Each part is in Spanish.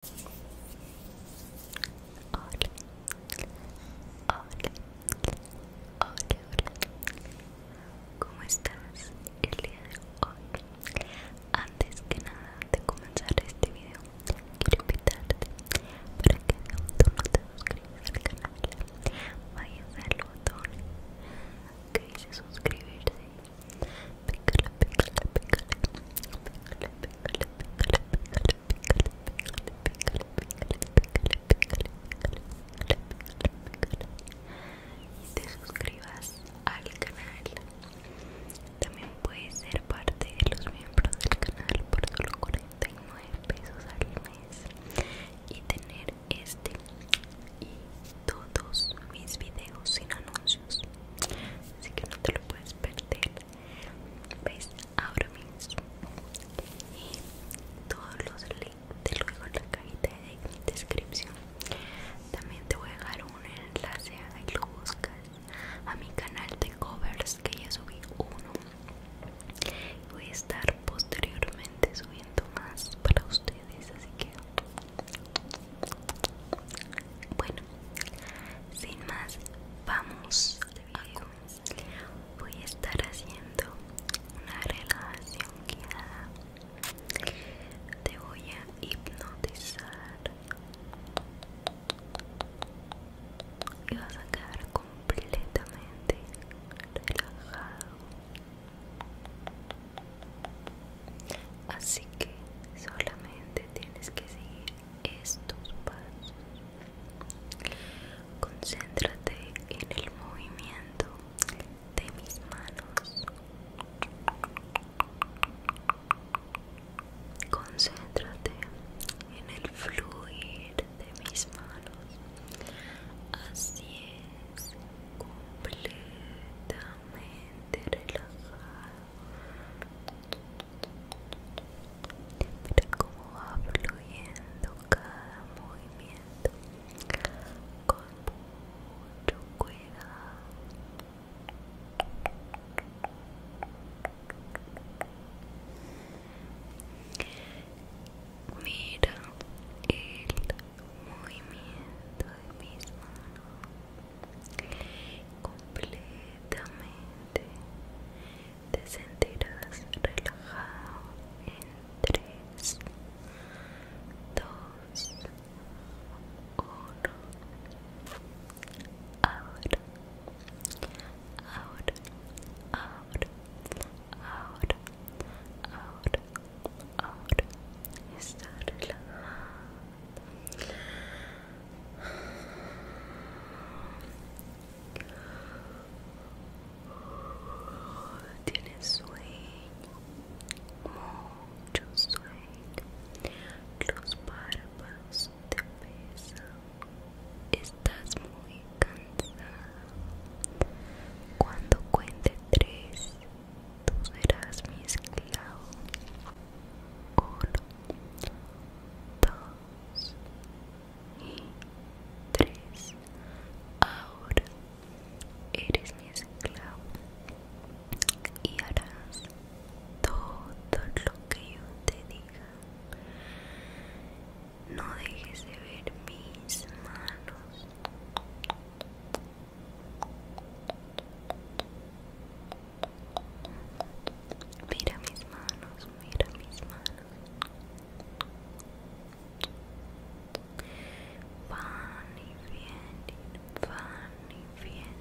hola, hola, ¿cómo estás el día de hoy? Antes que nada de comenzar este video, quiero invitarte para que de no te suscribas al canal, vayas al botón que dice suscribirse y te suscribas al canal. También puedes ser parte de los miembros del canal por solo 49 pesos al mes y tener este y todos mis videos sin anuncios así que no te lo puedes perder ves ahora mismo y todos los links te lo en la cajita de descripción también te voy a dejar un enlace ahí lo buscas a mi canal de covers que ya subí uno voy a estar posteriormente subiendo más para ustedes así que bueno, sin más, vamos Voy a estar haciendo una relajación guiada. Te voy a hipnotizar y vas a quedar completamente relajado. Así que solamente tienes que seguir estos pasos. Concéntrate en el movimiento de mis manos. Concéntrate en el fluir de mis manos. Así es, completa relajado mira cómo va fluyendo cada movimiento con mucho cuidado Mira el movimiento de mis manos completamente te sentirás relajado en 3 2 1 ahora ahora ahora ahora ahora ahora está relajado tienes sueño mucho sueño los párpados te pesan estás muy cansada cuando cuente tres tú serás mi esclavo. Uno, dos y tres. Ahora eres mi esclavo y harás todo lo que yo te diga. No dejes de ver mis manos. Mira mis manos, mira mis manos. Van y vienen, van y vienen,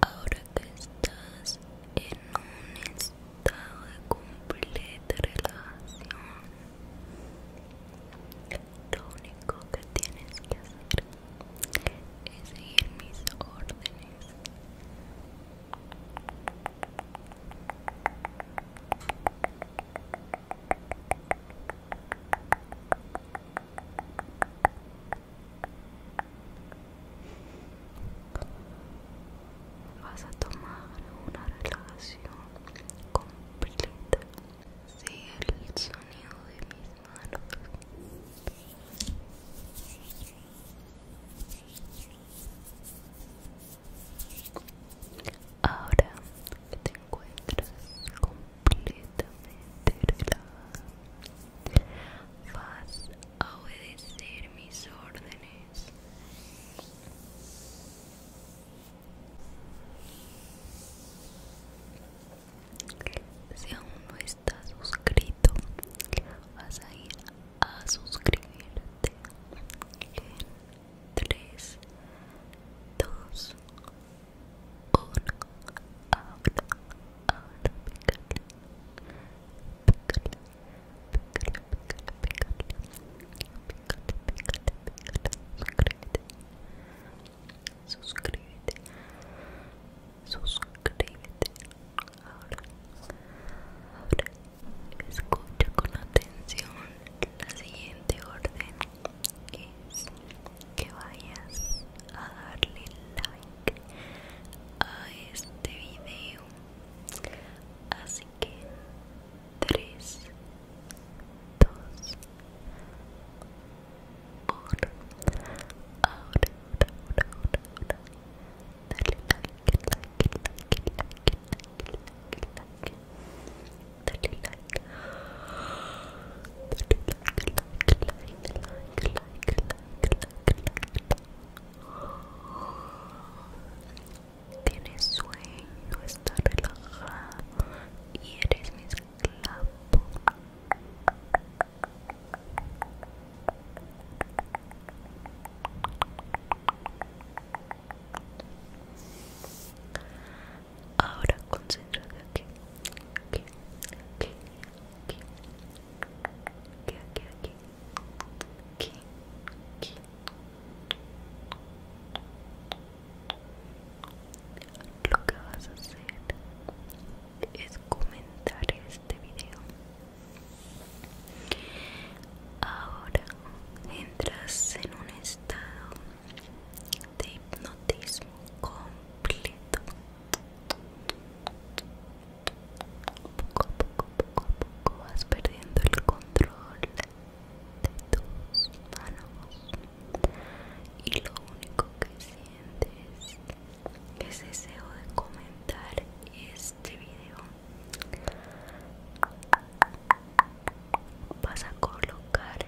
Ahora que estás en un estado de completa relación, lo único que tienes que hacer es seguir mis órdenes. Vas a tomar una relación completa. Sigue el sonido de mis manos. Ahora que te encuentras con completamente relajada. Vas a obedecer mis órdenes. Si aún no estás suscrito, vas a ir a suscribirte en 3, 2, ahora, ahora, ahora, pícale, pícale, pícale, pícale, pícale, pícale, pícale, pícale, suscríbete, suscríbete, suscríbete, ahora, ahora, escucha con atención la siguiente orden toques, que vayas a darle like a este video. Así que 3, 2, 1. Ahora, ahora, ahora, ahora. Dale like, like, like, like, like, like, like. Tienes sueño, está relajado y eres mi esclavo. Ahora concéntrate aquí, aquí, aquí, aquí, aquí, aquí, aquí, aquí, Lo que vas a hacer es comentar este video. Ahora entras en un estado de hipnotismo completo poco a poco poco a poco vas perdiendo el control de tus manos y lo único que sientes es deseo de comentar este video vas a colocar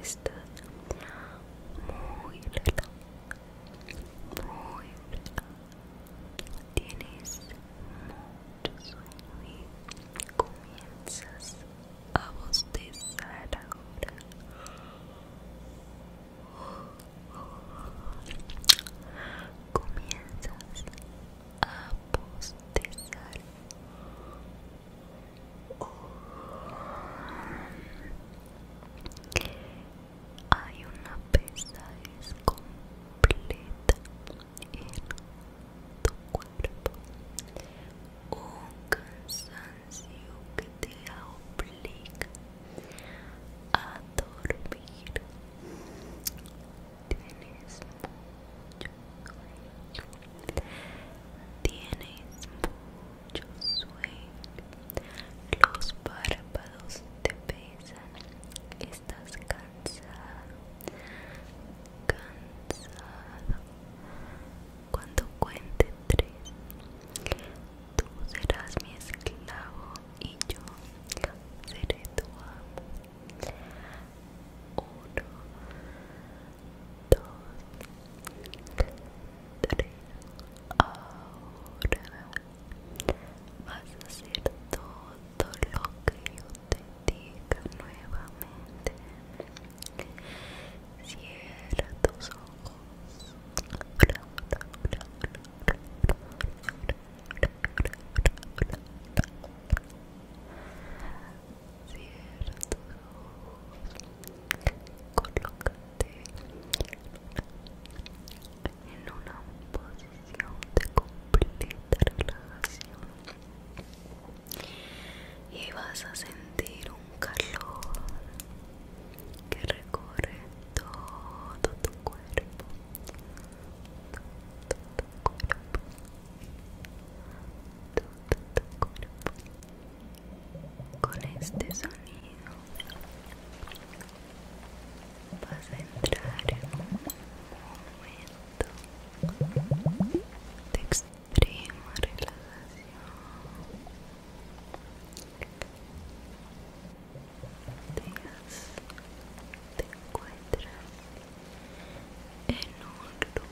Estás muy relajado, muy relajado. Tienes mucho sueño y comienzas a bostezar ahora comienzas a postear. hay una pesa completa en tu cuerpo un cansancio que te obliga a dormir Tienes mucho sueño. Tienes mucho sueño. Los párpados te pesan. Estás cansado. Cansado. Cuando cuente tres, tú serás mi esclavo y yo seré tu amo. Uno, dos, tres. Ahora vas a hacer todo lo que yo te diga nuevamente. Cierra tus ojos. Cierra tus ojos. Colócate en una posición de completa relajación. Y vas a sentir un calor que recorre todo tu cuerpo, todo tu cuerpo, todo tu cuerpo. Con este sonido vas a entrar en un momento de extrema relajación te encuentras en un lugar de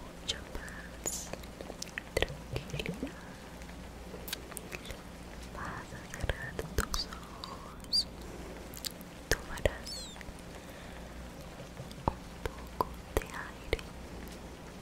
mucha paz, tranquilidad. Vas a cerrar tus ojos, tomarás un poco de aire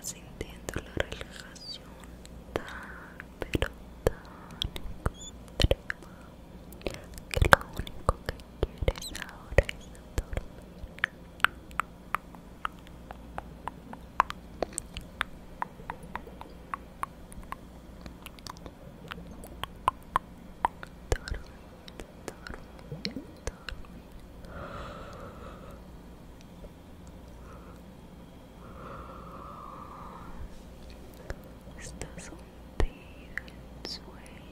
sintiendo la relajación tan, pero tan que lo único que quieres ahora es dormir. Estás un Estás en sueño.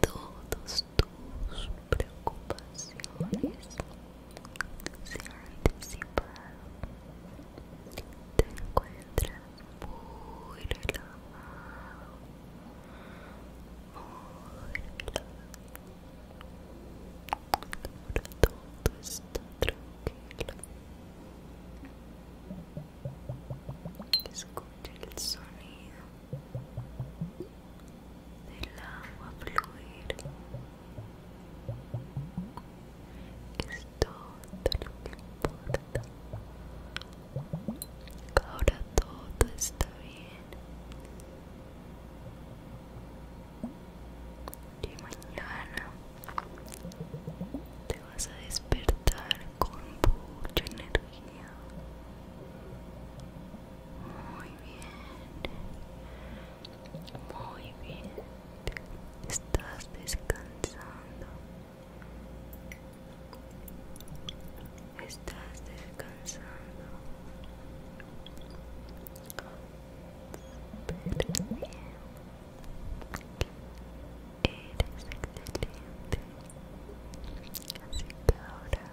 todas tus preocupaciones se ha anticipado te encuentras muy relajado muy relajado ahora todo está tranquilo escucha el sonido del agua fluir es todo lo que importa. Ahora todo está bien. Y mañana te vas a despertar con mucha energía. Muy bien. Muy bien. Estás descansando. Estás descansando. Así ahora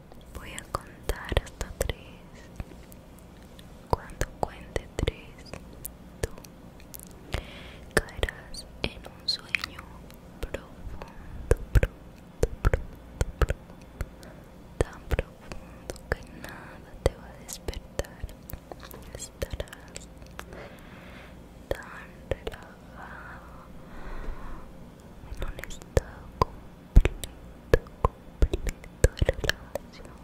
Voy a contar hasta tres. Cuando cuente tres, tú caerás en un sueño profundo, profundo, profundo tan profundo que nada te va a despertar. Estarás tan relajado en un estado completo, completo de relajación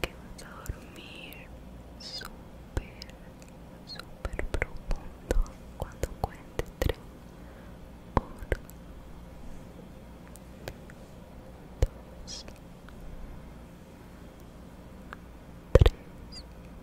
que vas a dormir súper, súper profundo cuando cuentes tres uno, dos tres